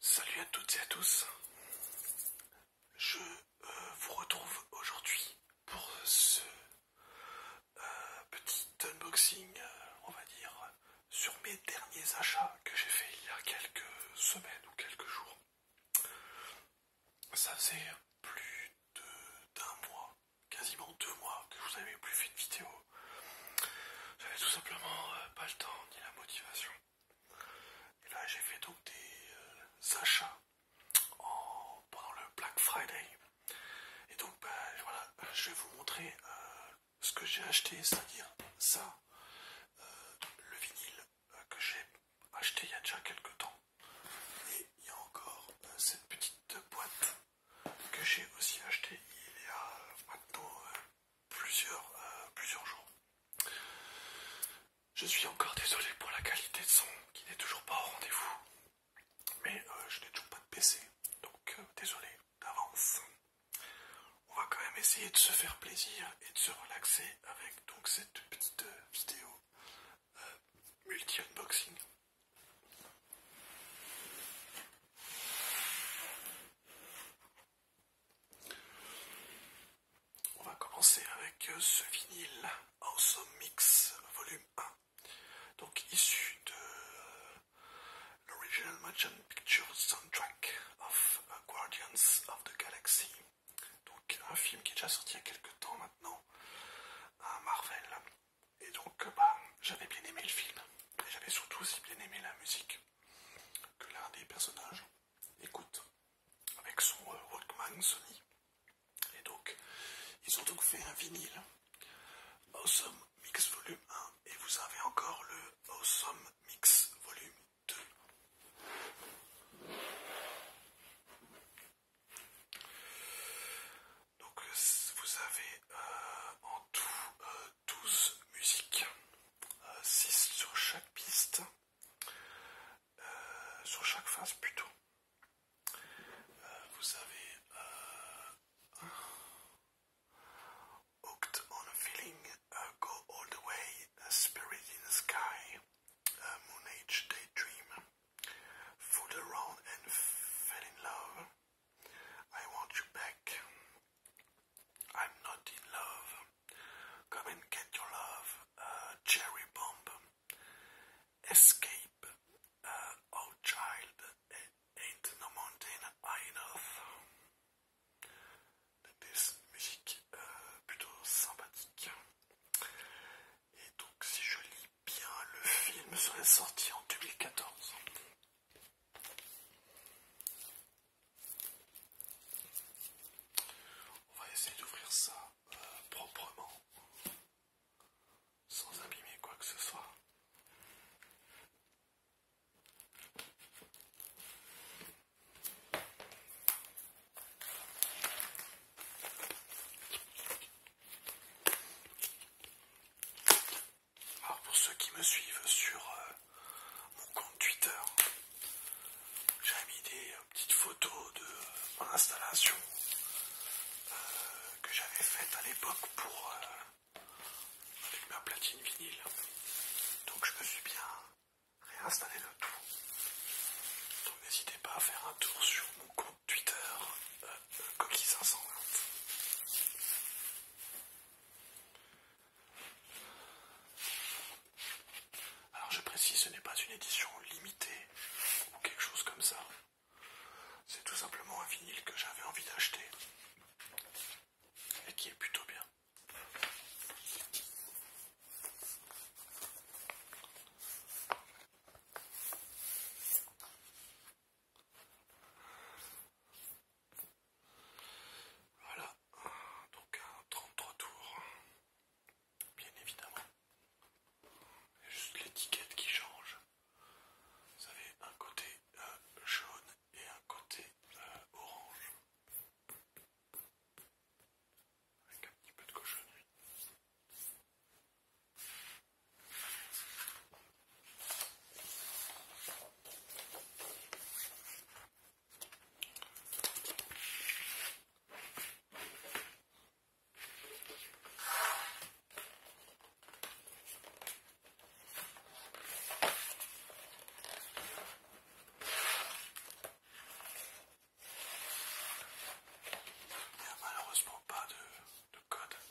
Salut à toutes et à tous. Je euh, vous retrouve aujourd'hui pour ce euh, petit unboxing, euh, on va dire, sur mes derniers achats que j'ai fait il y a quelques semaines ou quelques jours. Ça fait plus d'un mois quasiment deux mois que je vous avais plus fait de vidéo J'avais tout simplement euh, pas le temps ni la motivation. Et là j'ai fait donc des euh, achats pendant le Black Friday. Et donc bah, voilà, je vais vous montrer euh, ce que j'ai acheté, c'est-à-dire ça, le vinyle que j'ai acheté il y a déjà quelques temps. Et il y a encore cette petite boîte que j'ai aussi acheté il y a maintenant euh, plusieurs, euh, plusieurs jours. Je suis encore désolé pour la qualité de son qui n'est toujours pas au rendez-vous, mais euh, je n'ai toujours pas de PC, donc désolé d'avance. On va quand même essayer de se faire plaisir et de se relaxer avec donc cette petite vidéo multi-unboxing. On va commencer avec euh, ce vinyle Awesome Mix Volume 1, donc issu de euh, l'Original Motion Picture Soundtrack of uh, Guardians of the Galaxy. Donc un film qui est déjà sorti il y a quelques temps maintenant, à Marvel et donc, euh, bah, j'avais bien aimé le film, et j'avais surtout aussi bien aimé la musique que l'un des personnages écoute avec son euh, Walkman Sony. Et donc, ils ont donc fait un vinyle Awesome Mix Volume 1 et vous avez encore le Awesome Mix Volume 2. Donc euh, vous avez euh, en tout 12 euh, musiques, 6 sur chaque piste, sur chaque phase plutôt. vous avez Hooked on a Feeling, Go All the Way, a Spirit in the Sky, Moon Age Daydream, Fooled Around and Fell in Love. I want you back. I'm not in love. Come and get your love. cherry bomb. Escape. oh, child. ain't no mountain high enough. Des musiques euh, plutôt sympathiques. Et donc, si je bien, le film serait sorti en 2014. On va essayer d'ouvrir ça euh, proprement, sans abîmer quoi que ce soit. Alors pour ceux qui me suivent sur euh, mon compte Twitter, j'avais mis des euh, petites photos de euh, mon installation que j'avais faite à l'époque pour avec ma platine vinyle. Donc je me suis bien réinstallé le tout. Donc n'hésitez pas à faire un tour sur mon compte Twitter euh, Coquille 520. Alors je précise, ce n'est pas une édition limitée ou quelque chose comme ça. C'est tout simplement un vinyle que j'avais envie d'acheter et qui est plutôt bien. Voilà, donc un 33 tours, bien évidemment. Juste l'étiquette qui change. Vous avez un côté euh, jaune et un côté euh, orange. Avec un petit peu de cochonnerie a malheureusement pas de code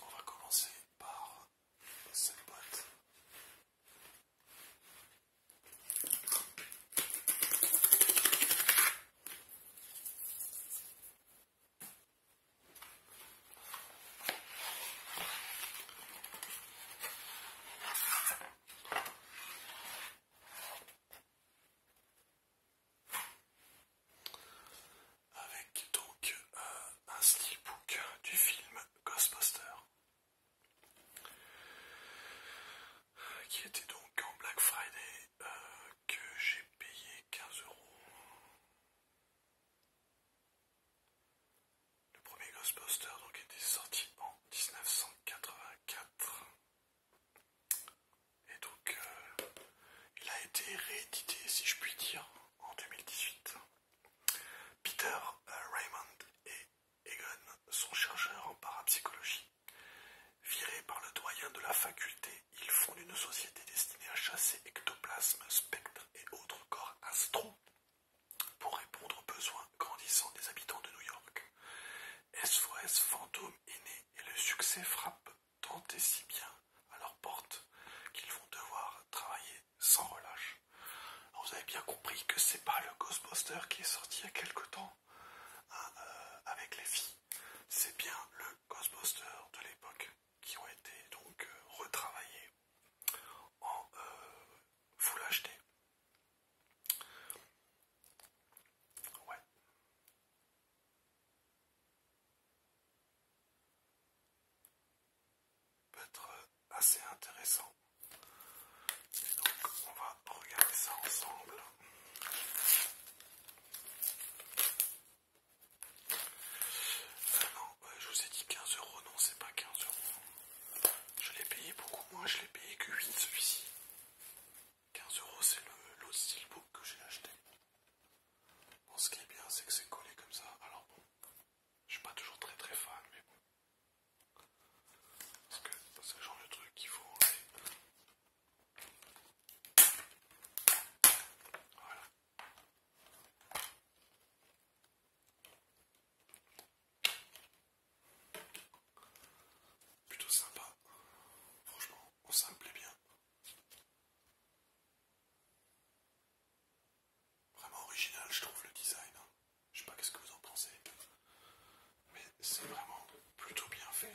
On va commencer par cette boîte. Avec donc euh, un steelbook du film Ghostbuster, qui était donc en Black Friday, euh, que j'ai payé 15 euros. Le premier Ghostbuster donc était sorti en 1984. Et donc euh, il a été réédité, si je puis dire, en 2018. Peter euh, Raymond et Egon sont chercheurs en parapsychologie. Virés par le doyen de la faculté, ils fondent une société destinée à chasser ectoplasmes, spectres et autres corps astraux pour répondre aux besoins grandissants des habitants de New York. SOS Fantôme est né et le succès frappe tant et si bien à leurs portes qu'ils vont devoir travailler sans relâche. vous avez bien compris que c'est pas le Ghostbuster qui est sorti il y a quelque temps hein, euh, avec les filles, c'est bien le Ghostbuster de l'époque qui ont été donc euh, retravaillés en euh, vous l'achetez. Ouais. Peut être euh, assez intéressant. donc on va regarder ça ensemble. Bah, je vous ai dit 15 euros, non, c'est pas 15 Je l'ai payé beaucoup moins, je l'ai payé que 8 celui-ci. 15 euros, c'est le steelbook que j'ai acheté. ce qui est bien, c'est que c'est collé comme ça. Alors bon, je suis pas toujours très très fan, mais bon. Parce que c'est genre de truc qu'il faut enlever. Voilà. Plutôt sympa. Franchement, oh, ça me plaît bien. Vraiment original, je trouve le design. Hein. Je sais pas qu'est-ce que vous en pensez, mais c'est vraiment plutôt bien fait.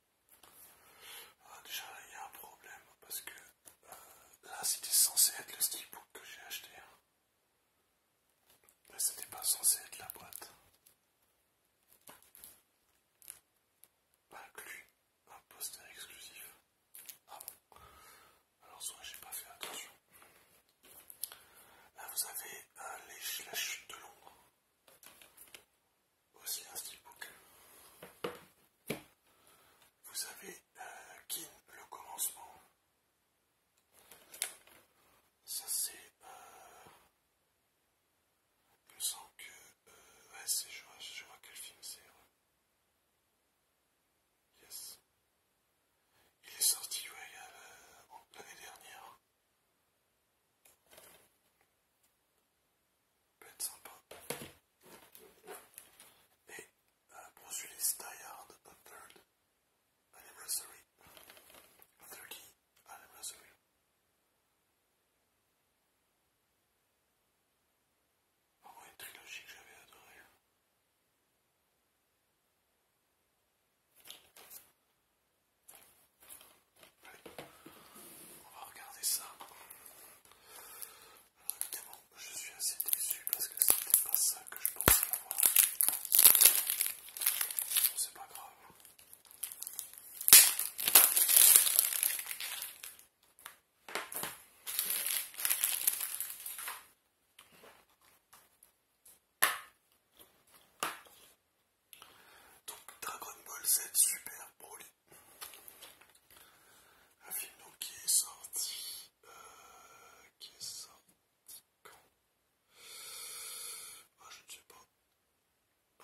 Ah, déjà, il y a un problème parce que euh, là, c'était censé être le stickbook que j'ai acheté. Hein. mais c'était pas censé être la boîte. Inclus un poster exclusif. Ah bon Alors, soit j'ai pas fait attention. Là, vous avez euh, la chute de l'ombre. Voici un book. Vous avez euh, Kin, le commencement. Ça c'est... Euh... sens que... Euh, ouais, c'est... Je, vois quel film c'est. Yes. Il est sorti, ouais, euh, l'année dernière peut être sympa. Et euh, poursuivre Die Hard on Third Anniversary. 30 Anniversary. Ah oh, une trilogie que j'avais adorée. On va regarder ça. je suis assez déçu parce que c'était pas ça que je pensais avoir. C'est pas grave. Donc Dragon Ball Z Super Broly. Un film qui est sorti... Euh, qui est sorti quand ah, Je ne sais pas.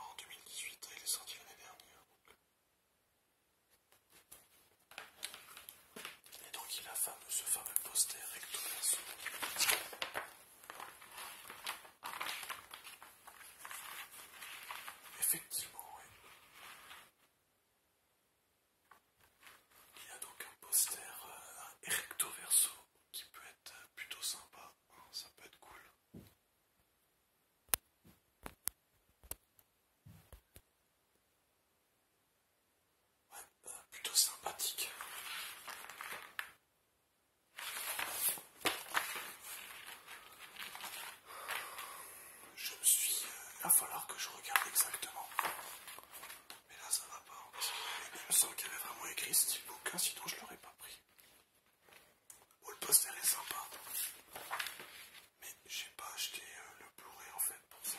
En 2018, hein, il est sorti l'année dernière. Et donc il a fait ce fameux poster recto verso. Effectivement, Il y a donc un poster à euh, recto verso qui peut être plutôt sympa, hein, ça peut être cool. Euh, plutôt sympathique. Je me suis euh, il va falloir que je regarde exactement. Mais là, ça va pas. Hein, je il me semble qu'il avait vraiment écrit ce de bouquin, sinon je l'aurais pas pris. Bon, le poster est sympa. Mais j'ai pas acheté euh, le Blu-ray en fait pour ça.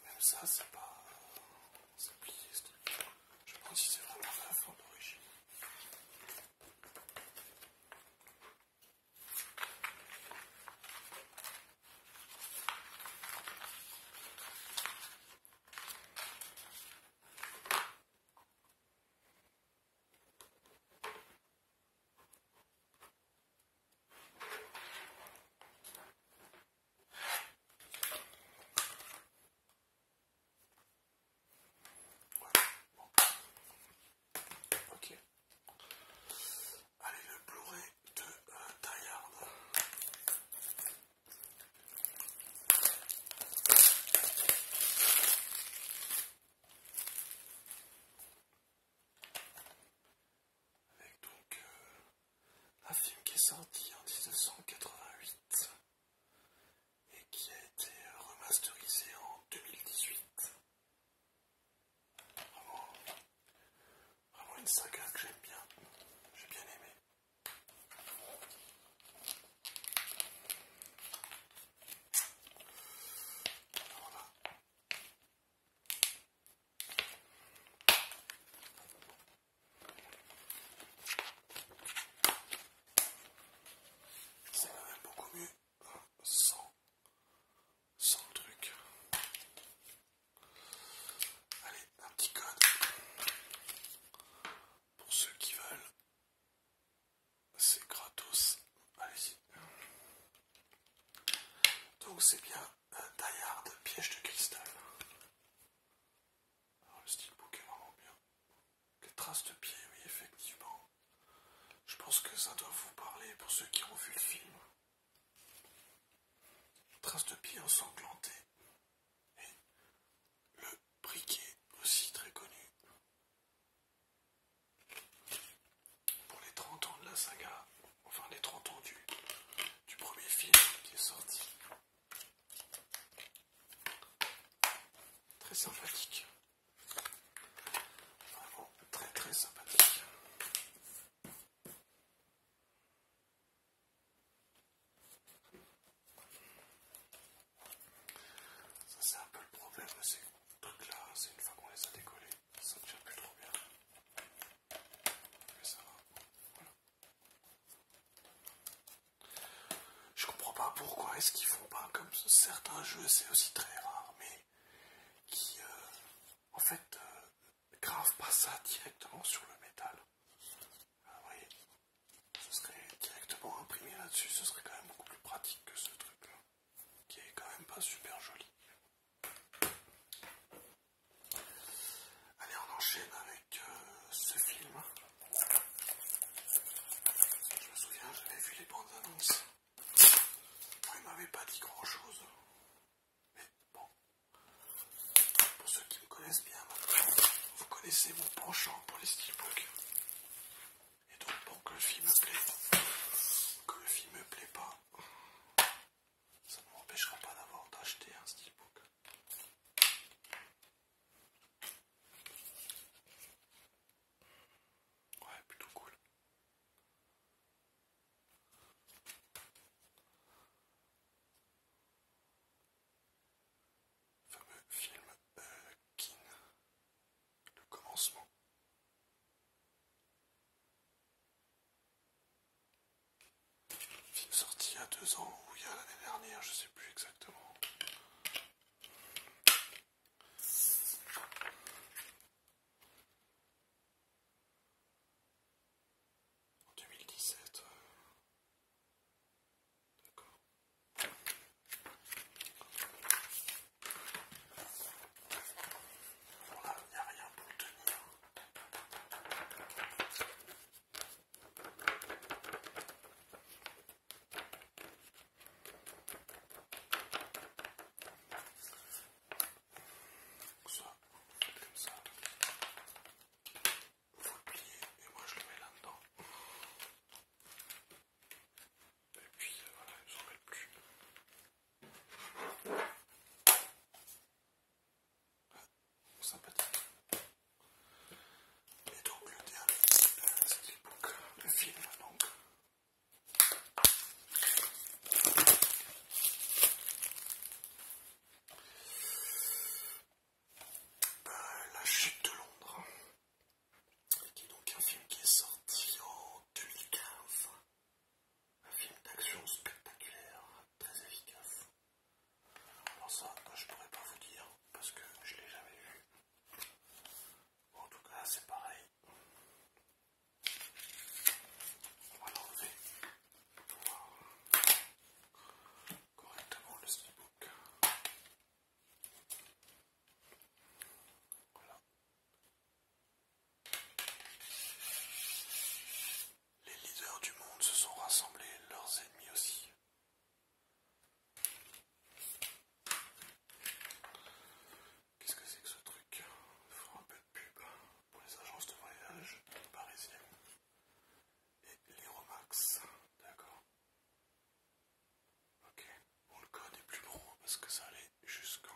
Même ça, c'est pas. C'est plié ce truc. Je pense que c'est vraiment la forme d'origine. OK. Allez, le bleuait de euh, derrière. Avec donc euh, un film qui est sorti en 1988 et qui a été remasterisé en 2018. Vraiment, une saga que j'aime bien, j'ai bien aimé. C'est beaucoup mieux sans, sans truc. Allez, un petit code pour ceux qui veulent. C'est gratos. allez Donc c'est bien un taillard de piège de cristal. Alors, ah, le style est vraiment bien. Les traces de pied, oui, effectivement. Je pense que ça doit vous parler pour ceux qui ont vu le film. Traces de pied ensanglantées. Et le briquet, aussi très connu. Pour les 30 ans de la saga, enfin les 30 ans du, du premier film qui est sorti. Très sympathique. Vraiment très très sympathique. Ça c'est un peu le problème de ces trucs là, c'est une fois qu'on les a décollés, ça ne tient plus trop bien. Je comprends pas pourquoi est-ce qu'ils font pas comme certains jeux, c'est aussi très rare, mais qui euh, en fait euh, gravent pas ça directement sur le métal. Ah, vous voyez, ce serait directement imprimé là-dessus, ce serait quand même beaucoup plus pratique que ce truc-là, qui est quand même pas super joli. Allez, on enchaîne avec euh, ce film. Je me souviens, j'avais vu les bandes annonces. Il m'avait pas dit grand chose. Mais bon, pour ceux qui me connaissent bien maintenant, vous connaissez mon penchant pour les steelbooks. Et donc, pour que le film me plaît, que le film me plaît pas, ça ne m'empêchera pas d'avoir d'acheter un steelbook. Ouais, plutôt cool. Le fameux film King, euh, Kin, le commencement. Film sorti il y a deux ans ou il y a l'année dernière, je sais plus exactement. En 2017. Euh, d'accord. Bon il n'y a rien pour le tenir ça, ça, vous le pliez et moi je le mets là-dedans. Et puis voilà, ils ne s'en plus sympathique. Et donc le dernier, euh, c'est Le film Donc. Euh, la chute de Londres, qui est donc un film qui est sorti en 2015. Un film d'action spectaculaire, très efficace. Alors ça, je pourrais pas vous dire parce que je l'ai jamais vu. En tout cas, c'est pareil. On va l'enlever correctement le speedbook. Voilà. Les leaders du monde se sont rassemblés, leurs ennemis aussi. Qu'est-ce que c'est que ce truc Il un peu de pub pour les agences de voyage parisiennes et les Romax, d'accord. Ok, bon le code est plus gros parce que ça allait jusqu'en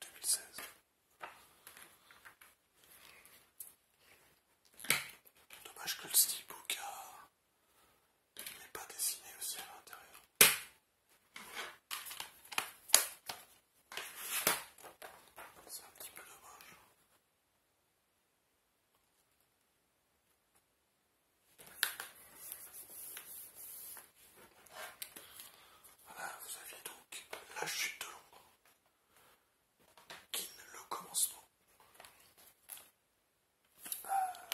2016. Euh, Dommage que le steelbook n'est pas dessiné aussi à l'intérieur. C'est un petit peu dommage. Voilà, vous aviez donc la chute de l'ombre. Qu'il le commencement. Ah.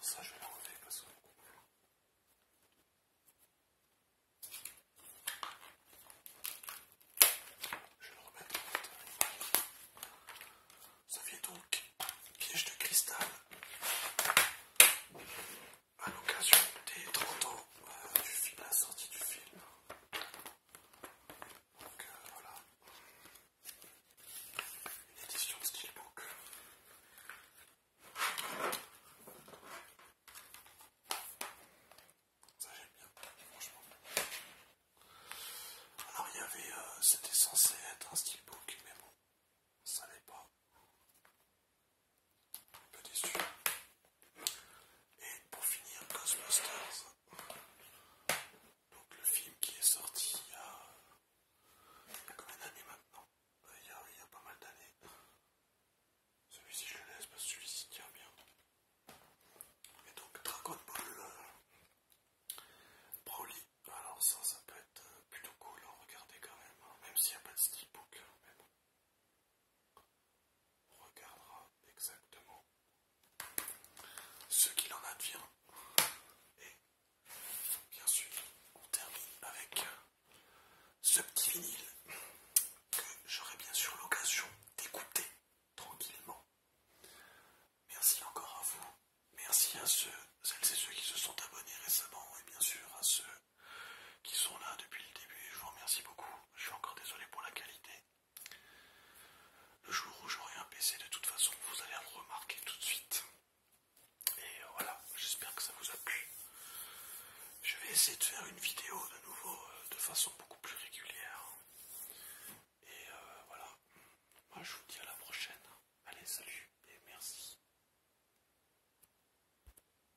ça, je vais le parce que. Je vais le remettre Ça fait donc piège de cristal à l'occasion des 30 ans euh, du film, la sortie du film. Donc euh, voilà, une édition de Steelbook. Ça j'aime bien, franchement. Alors il y avait, euh, c'était censé être un steelbook, mais bon, ça n'est pas. Un peu Et pour finir, Ghostbusters. Donc le film qui est sorti il y a, combien d'années maintenant euh, il y, a, pas mal d'années. Celui-ci je le laisse parce que celui-ci tient bien. Et donc Dragon Ball euh, Alors ça, ça peut être euh, plutôt cool à hein, regarder quand même. Hein. même s'il n'y a pas de steelbook. Hein, regardera exactement ce qu'il en advient. Et bien sûr, on termine avec euh, ce petit vinyle que j'aurai bien sûr l'occasion d'écouter tranquillement. Merci encore à vous. Merci à ceux, celles et ceux qui se sont abonnés récemment et bien sûr à ceux qui sont là depuis le début. Je vous remercie beaucoup. Je suis encore désolé pour la qualité. Le jour où j'aurai un PC, de toute façon, vous allez le remarquer tout de suite. Et voilà, j'espère que ça vous a plu. Je vais essayer de faire une vidéo de nouveau euh, de façon beaucoup plus régulière. Et euh, voilà, moi je vous dis à la prochaine. Allez, salut et merci.